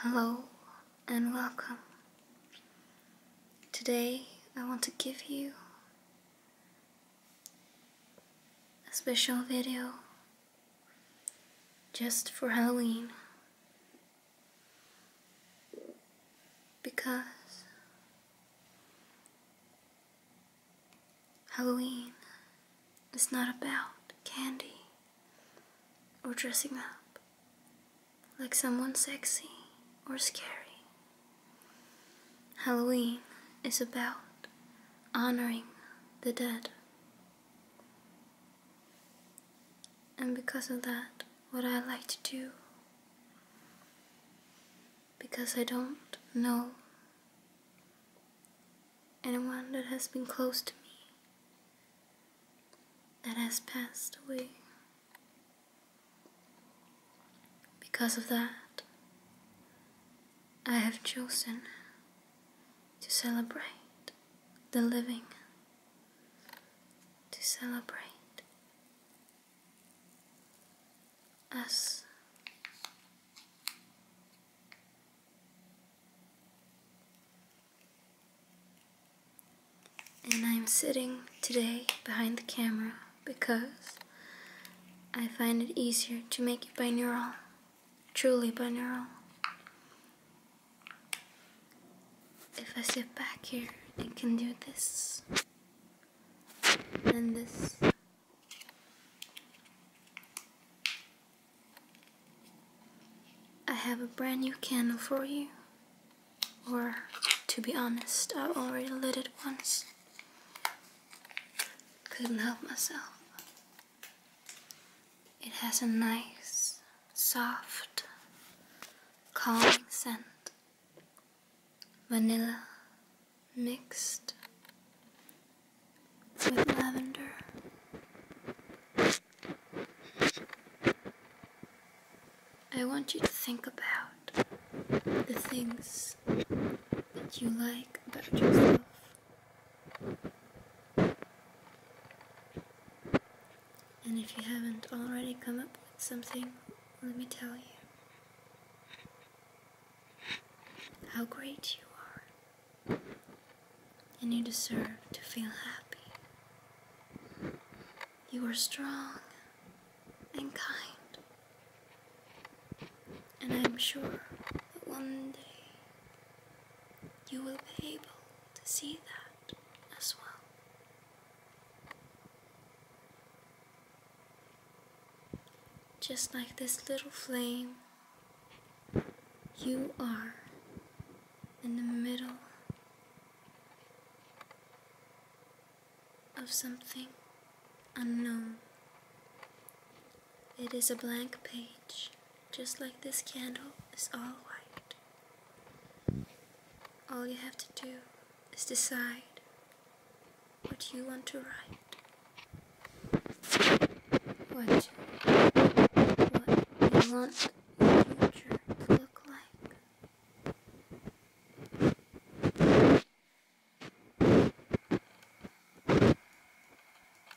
Hello and welcome. Today I want to give you a special video just for Halloween because Halloween is not about candy or dressing up like someone sexy or scary. Halloween is about honoring the dead. And because of that, what I like to do, because I don't know anyone that has been close to me that has passed away. Because of that, I have chosen to celebrate the living, to celebrate us. And I'm sitting today behind the camera because I find it easier to make it binaural, truly binaural. If I sit back here, it can do this, and this. I have a brand new candle for you. Or, to be honest, I already lit it once. Couldn't help myself. It has a nice, soft, calming scent. Vanilla, mixed with lavender. I want you to think about the things that you like about yourself. And if you haven't already come up with something, let me tell you how great you are, and you deserve to feel happy. You are strong and kind, and I am sure that one day you will be able to see that as well. Just like this little flame, you are in the middle of something unknown. It is a blank page, just like this candle is all white. All you have to do is decide what do you want to write? What what you want the future to look like?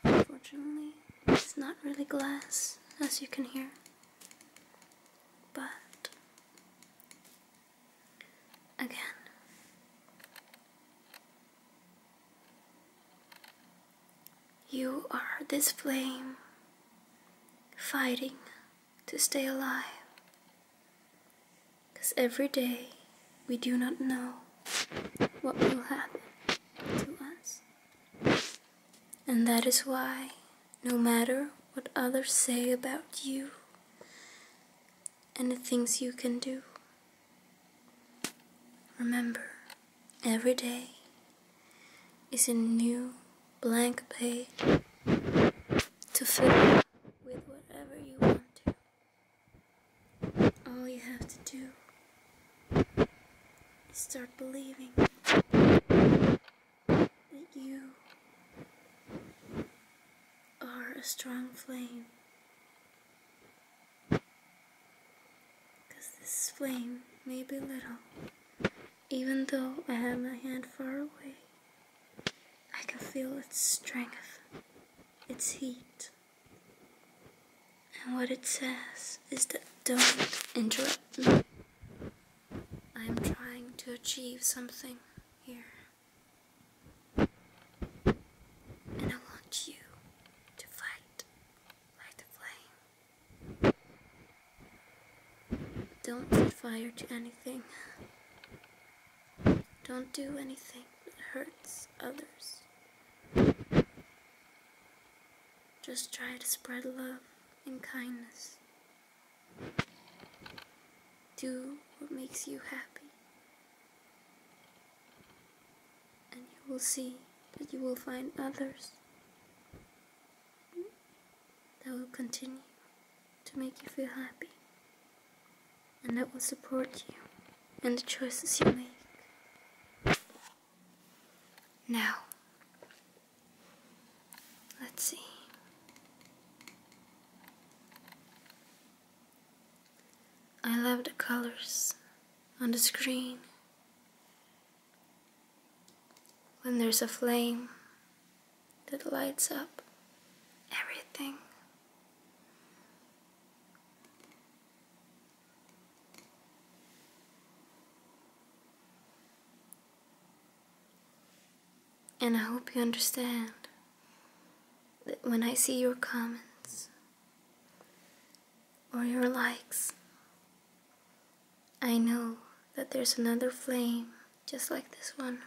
Unfortunately, it's not really glass, as you can hear. But again. You are this flame fighting to stay alive. Because every day we do not know what will happen to us. And that is why, no matter what others say about you, and the things you can do. Remember, every day is a new blank page to fill with whatever you want to. All you have to do is start believing that you or a strong flame. this flame may be little, even though I have my hand far away, I can feel its strength, its heat. And what it says is that don't interrupt me. I am trying to achieve something here. And I want you to fight like the flame. Don't set fire to anything. Don't do anything that hurts others. Just try to spread love and kindness do what makes you happy, and you will see that you will find others that will continue to make you feel happy and that will support you in the choices you make. Now, let's see. I love the colors on the screen. When there's a flame that lights up everything. And I hope you understand that when I see your comments or your likes, I know that there's another flame just like this one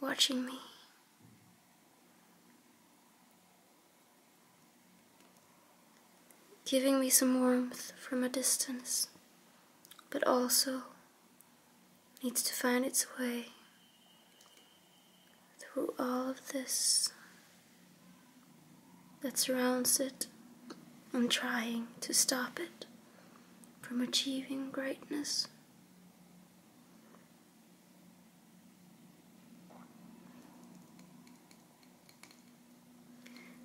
watching me. Giving me some warmth from a distance, but also needs to find its way through all of this that surrounds it and trying to stop it from achieving greatness.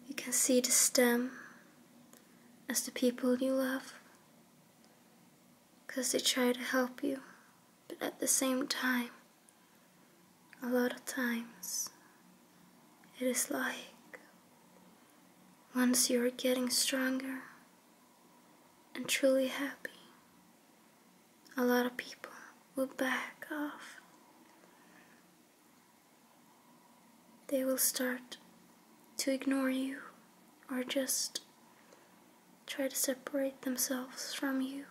You can see the stem as the people you love. Because they try to help you, but at the same time, a lot of times, it is like once you are getting stronger and truly happy, a lot of people will back off they will start to ignore you or just try to separate themselves from you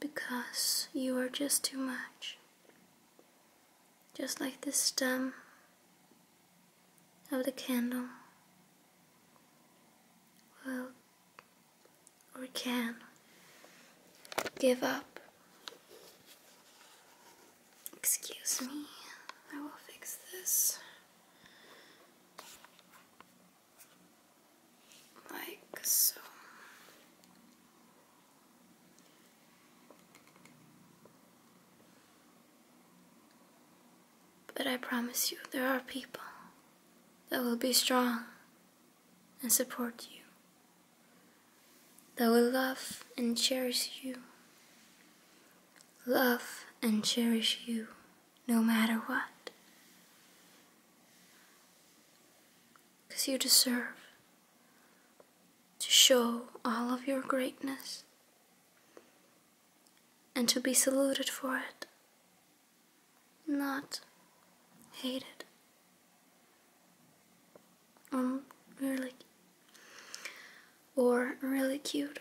because you are just too much. Just like the stem of the candle will or can give up. Excuse me, I will fix this. Like so. But I promise you, there are people that will be strong and support you that will love and cherish you. Love and cherish you no matter what. Because you deserve to show all of your greatness and to be saluted for it, not hated um, really, or really cute,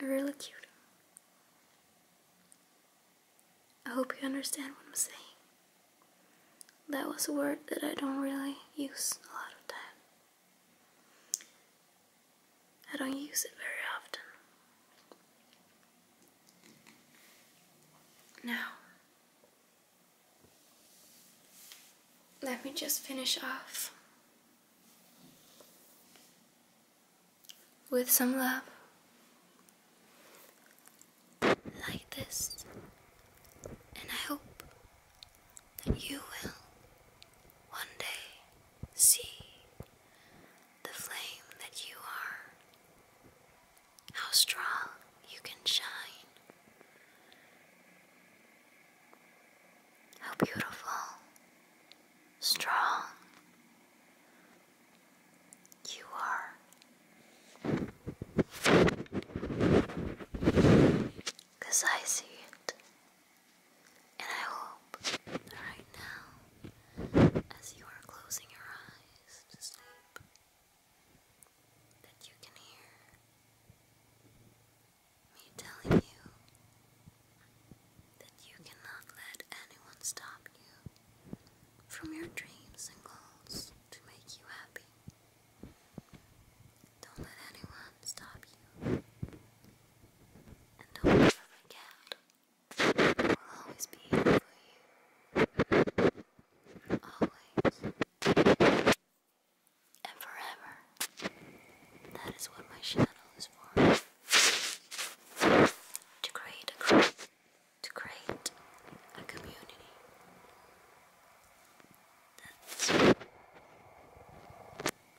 really cute. I hope you understand what I'm saying. That was a word that I don't really use a lot of time. I don't use it very often. Now, let me just finish off with some love like this, and I hope that you will one day see the flame that you are how strong you can shine, how beautiful, strong you are. I see it, and I hope that right now, as you are closing your eyes to sleep, that you can hear me telling you that you cannot let anyone stop you from your dreams and goals to make you happy. Don't let anyone stop you. And don't ever forget will always be here for you. Always. And forever. That is what my shadow is for. To create a group.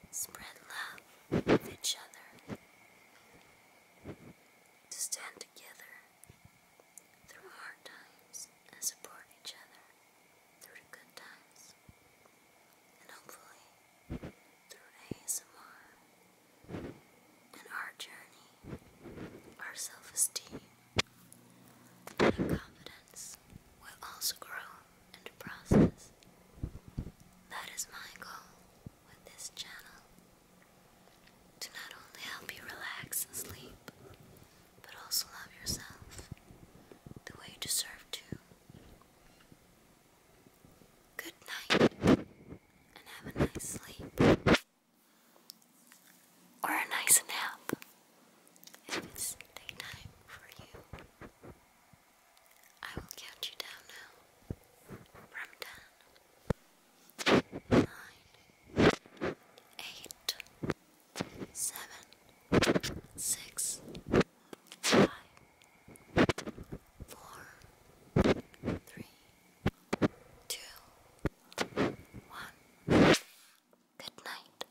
To spread love with each other. To stand together through hard times and support each other through the good times. And hopefully, through ASMR and our journey, our self esteem and confidence will also grow in the process. That is my goal with this channel to not only help you relax and sleep, but also love yourself the way you deserve to. Good night, and have a nice sleep. Or a nice nap, if it's daytime for you. I will count you down now. From 10 nine, eight, seven, six, five, four, three, two, one. Good night.